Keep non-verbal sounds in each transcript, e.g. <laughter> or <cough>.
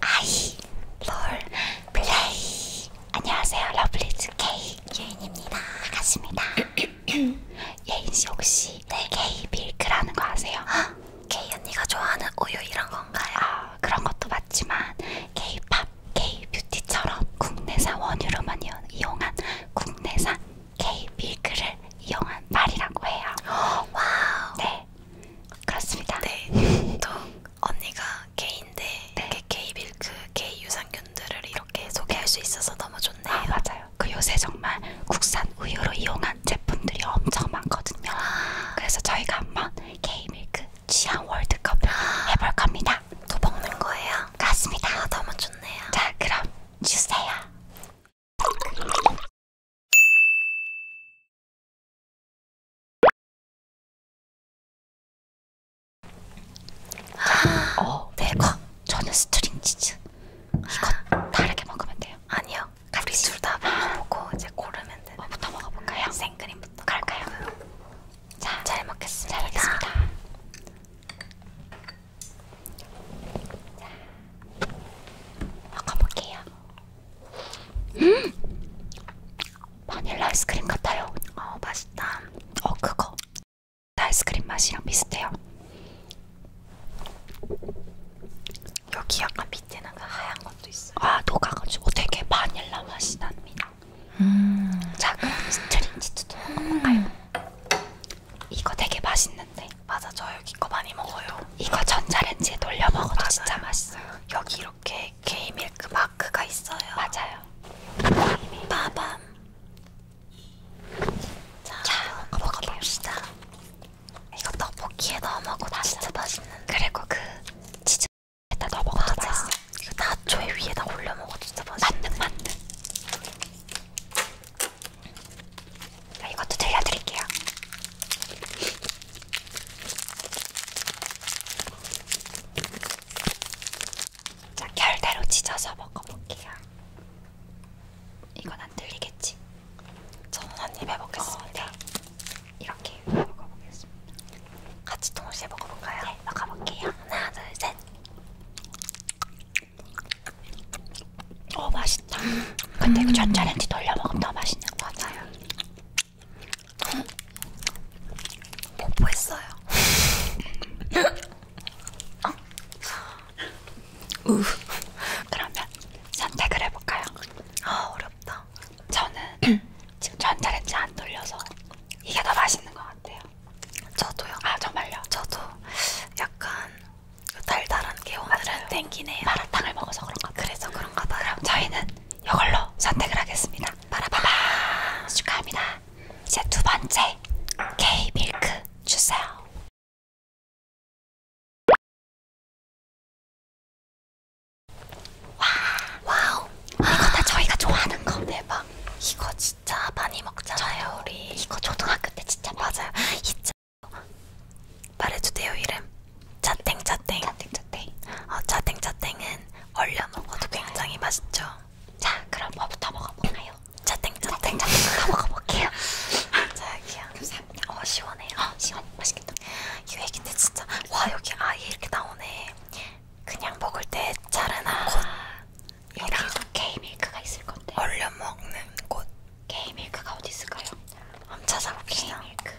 아이 롤 플레이 안녕하세요 러블리즈 K 예인입니다 반갑습니다 <coughs> 예인씨 혹시 네. K 밀크라는 거 아세요? <gasps> K 언니가 좋아하는 우유 이런 건가요? 아 그런 것도 맞지만 K 팝 K 뷰티처럼 국내산 원유로만 이용한 국내산 K-밀크를 이용한 말이라고 해요. <gasps> 와우. 네. 그렇습니다. 네. 또 언니가 K인데 네. K-밀크, K-유산균들을 이렇게 소개할 수 있어서 너무 좋네요. 아, 맞아요. 그 요새 정말 국산 우유로 이용한 제품들이 엄청 많거든요. 아. <gasps> 그래서 저희가 한번 K-밀크 취향 월드컵을 아. <gasps> 해볼 겁니다. 또 먹는 거예요? 맞습니다. 아, 너무 좋네요. 자, 그럼 주세요. 어, 네, 이거 저는 스트링 치즈. 이거 다르게 먹으면 돼요. 아니요. 우리 둘다 아. 먹어보고 이제 고르면 돼요. 뭐부터 먹어볼까요? 네, 생크림부터 갈까요? 자, 잘 먹겠습니다. 잘 먹겠습니다. 자, 먹어볼게요. 음! 바닐라 아이스크림 같아요. 어, 맛있다. 어, 그거. 아이스크림 맛이랑 비슷해요. 여기 약간 밑에 나가 그 하얀 것도 있어요. 아, 녹아가지고 되게 바닐라 맛이 납니다. 음. 자, 그럼 스트링치즈도 먹어볼까요? 음. 이거 되게 맛있는데. 맞아, 저 여기 거 많이 먹어요. 이거 전자레인지에 돌려 먹어도 맞아요. 진짜 맛있어요. 여기 이렇게 게이밀크 마크가 있어요. 맞아요. 빠밤. 자, 자 먹어봅시다. 이거 떡볶이에 넣어 먹어도 맞아. 진짜 맛있는. 그리고 그 치즈에다 넣어 먹어도 맞아. 맛있어. 이거 그 나초에 위에다 올려 먹어도 진짜 맛있는. 맞는 맞는. 이것도 들려드릴게요. 자, 결대로 찢어서 먹어볼게요. 이건 안 들리겠지? 저는 한입 해먹겠습니다. 어, 네. 이렇게 먹어보겠습니다. 같이 동시에 먹어볼까요? 네, 먹어볼게요. 하나, 둘, 셋. 어 맛있다. 근데 그 전자레인지 돌려 먹으면 더 맛있는 거 같아요. 뽀뽀했어요. 어? 우. 그러면 선택을 해볼까요? 아 어렵다. 저는 지금 전자레인지 안 돌려서 이게 더 맛있는 것 같아요. 저도요. 아 정말요? 저도 약간 달달한 게 오늘은 땡기네요. 마라탕을 먹어서 그런가 봐요. 그래서 그런가 봐요. 그럼 저희는 이걸로 선택을 하겠습니다. 바라바바 축하합니다. 이제 두 번째 K 밀크 주세요. 와 와우 이거 다 저희가 좋아하는 거 대박. 이거 진짜 많이 먹잖아요. 우리 이거 초등학교 때 진짜 맞아요. 말해도 돼요 이름? 자땡자땡 자땡자땡 어, 자땡자땡은 얼려 먹어도 굉장히 맛있죠 자 그럼 뭐부터 먹어보나요? 자땡자땡 자땡부터 먹어볼게요 <laughs> 자 여기요 감사합니다 어 시원해요 어, 시원 맛있겠다 이 얘긴데 진짜 와 여기 아예 이렇게 나오네 그냥 먹을 때 자른 아, 곳 여기 이렇게 밀크가 있을 건데 얼려 먹는 곳 게이밀크가 어디 있을까요? 한번 찾아봅시다. 게이밀크.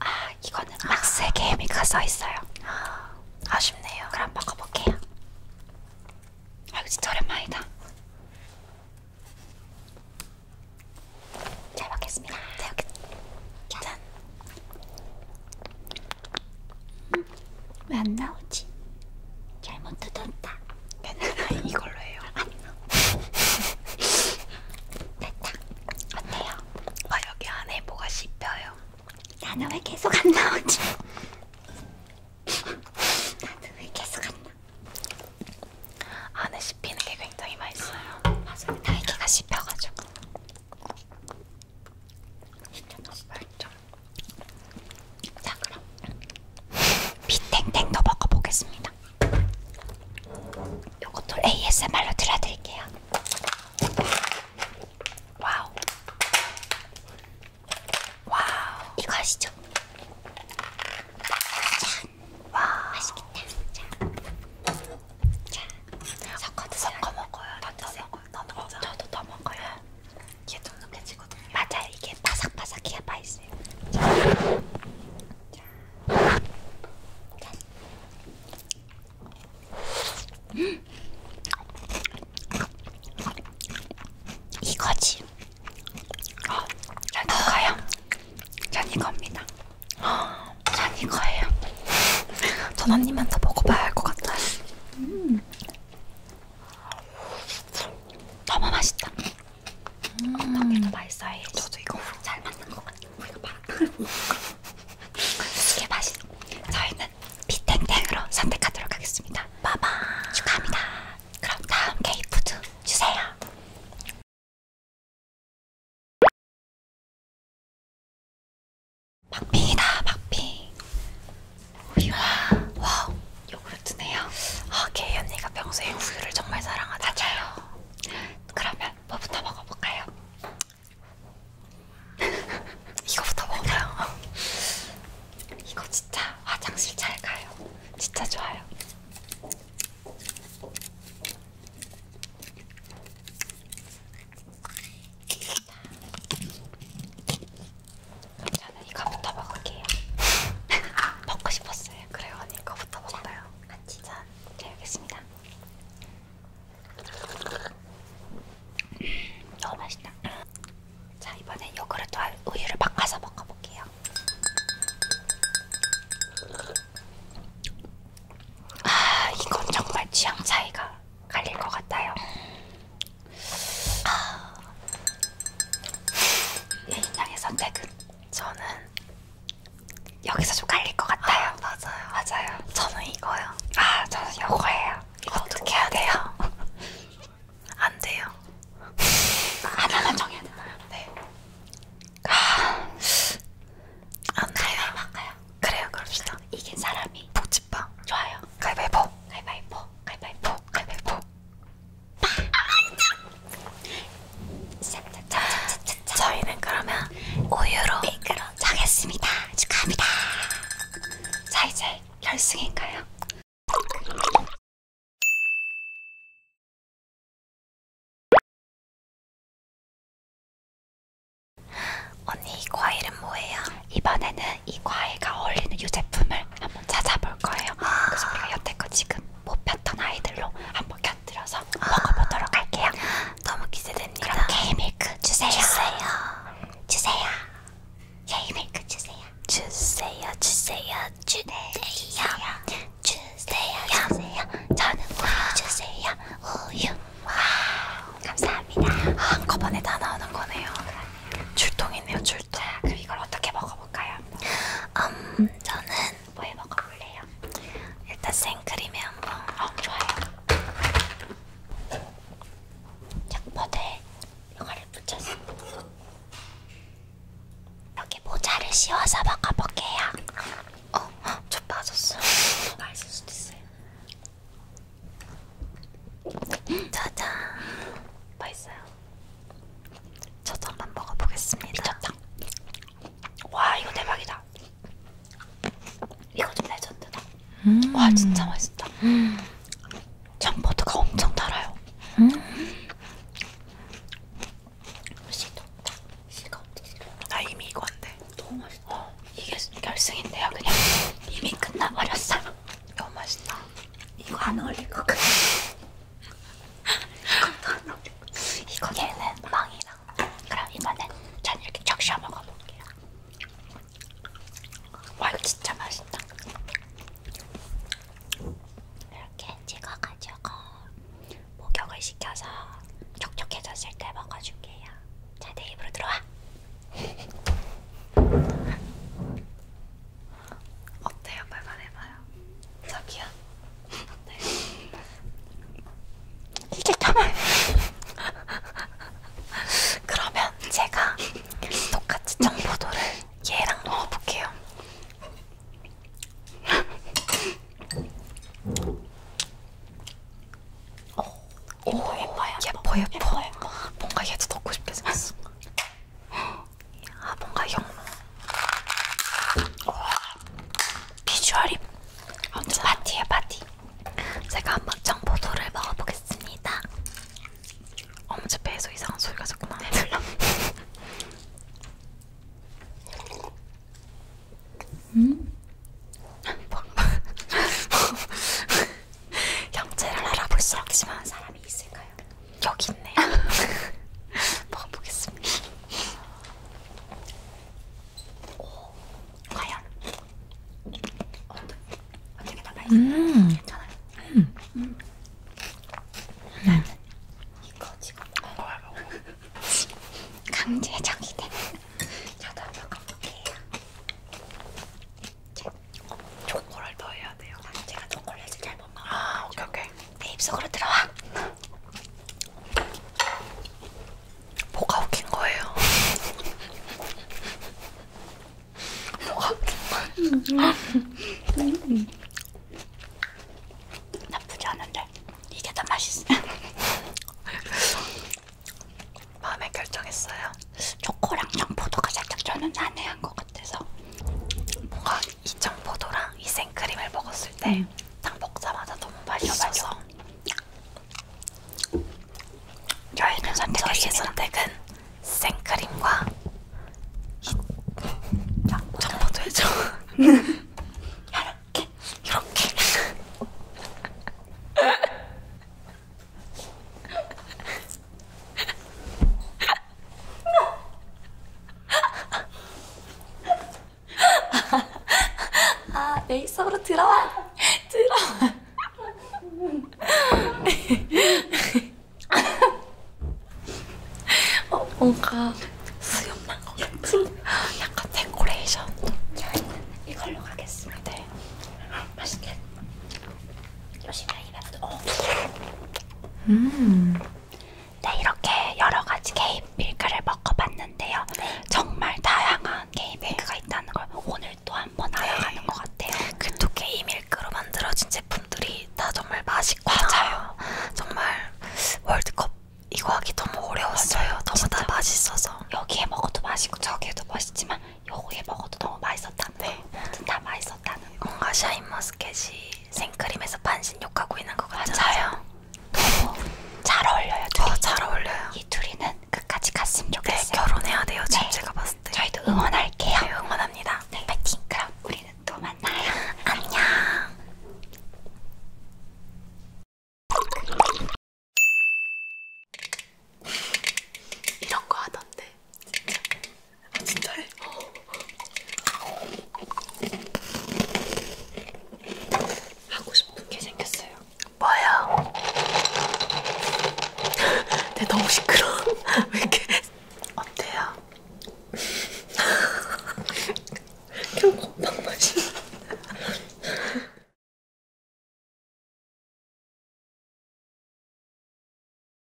아 이거는 아. 박스에 게이밀크가 써 있어요. 아, 아쉽네요. 그럼 먹어볼게요. 아 이거 진짜 오랜만이다. 잘 먹겠습니다. 네, 여기. 짠. 음, 왜안 나오지? 잘못 뜯었다. 괜찮아요. 이걸로 해요. 됐다. 어때요? 와 아, 여기 안에 뭐가 씹혀요. 나는 왜 계속 안 나오지? 나는 왜 계속 안 나? 안에 씹히는 게 굉장히 맛있어요. 맞아요. 날개가 씹혀가지고. 진짜 맛있다. 자 그럼 비탱탱도 먹어보겠습니다. 요것도 ASMR로 들려드릴게요. 와우. 와우. 이거 아시죠? 자, 와 맛있겠다. 자, 자, 섞어 드세요. 섞어 먹어요. 나도 먹어요. 나도 먹어요. 저도 더 먹어요. 이게 쫀득해지거든요. 맞아요. 이게 바삭바삭해야 맛있어요. 자. 자. 자. 이거지. 어, 전 이거요. 전 이겁니다. 어, 전 이거예요. 전 언니만 더 먹어봐야 할 것 같아요. 음. 너무 맛있다. 음. 어떤 게더 맛있어요? 저도 이거 잘 맞는 것 같아요. 우리가 바탕을 보는 거. 이게 맛있. 저희는 비텐텐으로 선택하도록 하겠습니다. 빠밤. 축하합니다. 그럼 다음 케이푸드 주세요. 박빙이다 박빙. 우유와 와우 요구르트네요. 아, 개 언니가 평소에 우유를 정말 사랑하잖아요. 그러면 뭐부터 먹어볼까요? <laughs> 이거부터 먹어요. <laughs> 이거 진짜 화장실 잘 가요. 진짜 좋아요. 저는 이거부터 먹을게요. <laughs> 먹고 싶었어요. 그래요, 언니 이거부터 먹어요. 같이 아, 짠. 잘 먹겠습니다. 네, 너무 맛있다. 자, 이번엔 요구르트와 우유를 바꿔서 먹어볼게요. 아, 이건 정말 취향 차이가 갈릴 것 같아요. 아, 내 인양의 선택은 저는 여기서 좀 깔릴 것 같아요. 아, 맞아요. 맞아요. 저는 이거요. 아, 저는 이거예요. 이거 어떻게 해야 돼요? <laughs> 안 돼요. 아, 하나만 정해야 되나요? 네. 아, 안 돼요. 가요 그래요, 그럽시다. 이긴 사람이 복지빵 좋아요. 가위바위보. 가위바위보. 가위바위보. 가위바위보. 저희는 그러면 우유로 핑크로 네, 정했습니다. 축하합니다. 자 이제 결승인가요? 언니 이 과일은 뭐예요? 이번에는 이 과일과 어울리는 유제품을 한번 찾아볼 거예요. 아 그래서 우리가 여태껏 지금 못 뭐 봤던 아이들로 한번 곁들여서 아 먹어보도록 할게요. 너무 기대됩니다. 그럼 케이밀크 주세요. 주세요. 주세요. 케이밀크 주세요. 주세요. 주세요. 주세요. 네, 주세요. 주세요. 주세요. 저는 우유 주세요. 우유. 와 감사합니다. 한꺼번에 다 나오는 거네요. 출동이네요. 출동. 자, 그럼 이걸 어떻게 먹어볼까요? 음, 저는 뭐에 먹어볼래요? 일단 생크림에 한번. 어, 좋아요. 약포대 이거를 붙여서 여기 모자를 씌워서 먹어볼게요. 어, 저 빠졌어. 맛있을 수도 있어요. 짜잔. 맛있어요. 뭐 저장만 먹어보겠습니다. 미쳤다. 와 이거 대박이다. 이거 좀 레전드다. 음. 와 진짜 맛있다. 음. 청포도가 엄청 달아요. 음. 시도 시가 어떻게 시가? 나 이미 이건데. 너무 맛있다. 어, 이게 결승인데요, 그냥 이미 끝나버렸어요. 너무 맛있다. 이거 안 어울릴 것 같아. <laughs> 이거 얘는 망이랑 그럼 이번엔 전 이렇게 적셔 먹어볼게요. 와 이거 진짜 맛있다. 이렇게 찍어가지고 목욕을 시켜서 촉촉해졌을 때 먹어줄게요. 자, 내 입으로 들어와. <laughs> 어때요? 말만해봐요. 저기요. 어때요? 이게 정말. 그러면 제가 똑같이 청포도를 얘랑 넣어볼게요. 오, 어, 오 어, 예뻐요. 예뻐 예뻐. 뭔가 얘도 넣고 싶게 생겼어. 아 뭔가 영롱 비주얼이 완전 파티에 파티 제가 한번 청포도를 먹어보겠습니다 어머 제 배에서 이상한 소리가 자꾸 나네 <laughs> 음? <laughs> 형체를 알아볼 수 없지만 사람이 있을까요? 여기 있네요. <laughs> 먹어보겠습니다. 오, 과연 어떻게 어떻게 다 맛있어요? 음. 괜찮아요. 음. 음. 네. 이거 지금 먹어야 먹어. 강제적이네. 저도 한번 먹어볼게요. 네. 초콜릿 더 해야 돼요. 제가 초콜릿을 잘못 먹어요. 아, 오케이 오케이. 내 네, 입속으로 들어와. 뭐가 웃긴 거예요? 뭐가 웃긴 거예요? 나쁘지 않은데 이게 더 맛있어. 마음에 결정했어요. 초코랑 청포도가 살짝 저는 난해한 것 같아요. 같아서 뭔가 이 청포도랑 이 생크림을 먹었을 때딱 음. 먹자마자 너무 맛있어서 저희는 선택했 선택은 생크림과 청포도의 정 <laughs> 이렇게 이렇게 <laughs> 아, 내 입속으로 들어와. 들어와. 어, 뭔가 수염만 거 같은 약간 데코레이션 이걸로 가겠습니다 맛있게 조심히 입에 어. 음. 네, 이렇게 여러 가지 개입 밀크를 먹어봤는데요. 네. 정말 다양한 개입 밀크가 있다는 걸 오늘 또 한번 네. 알아가는 것 같아요. 그또 개입 밀크로 만들어진 제품들이 다 정말 맛있고 맞아요. 정말 월드컵 이거 하기 너무 어려웠어요. 맞아요. 너무 진짜. 다 맛있어서 여기에 먹어도 맛있고 저기에도 맛있지만 여기에 먹어도 너무 맛있었다. 네, 모든 다 맛있어. 있었다는 거. 뭔가 샤인머스켓이 생크림에서 반신욕하고 있는 것 같아요. 너무 어, 잘 어울려요. 둘이. 어, 잘 어울려요. 이 둘이는 끝까지 갔으면 네, 좋겠어요. 네, 결혼해야 돼요. 지금 네. 제가 봤을 때. 저희도 응원할게요. 네, 응원합니다. 네, 파이팅. 그럼 우리는 또 만나요. <laughs> 안녕. 이런 거 하던데. 진짜. 아, 진짜래? 하고 싶은 게 생겼어요. 뭐야? 내 <laughs> 네, 너무 시끄러워. <laughs> 왜 이렇게 어때요? <laughs> 그냥 건빵 맛이.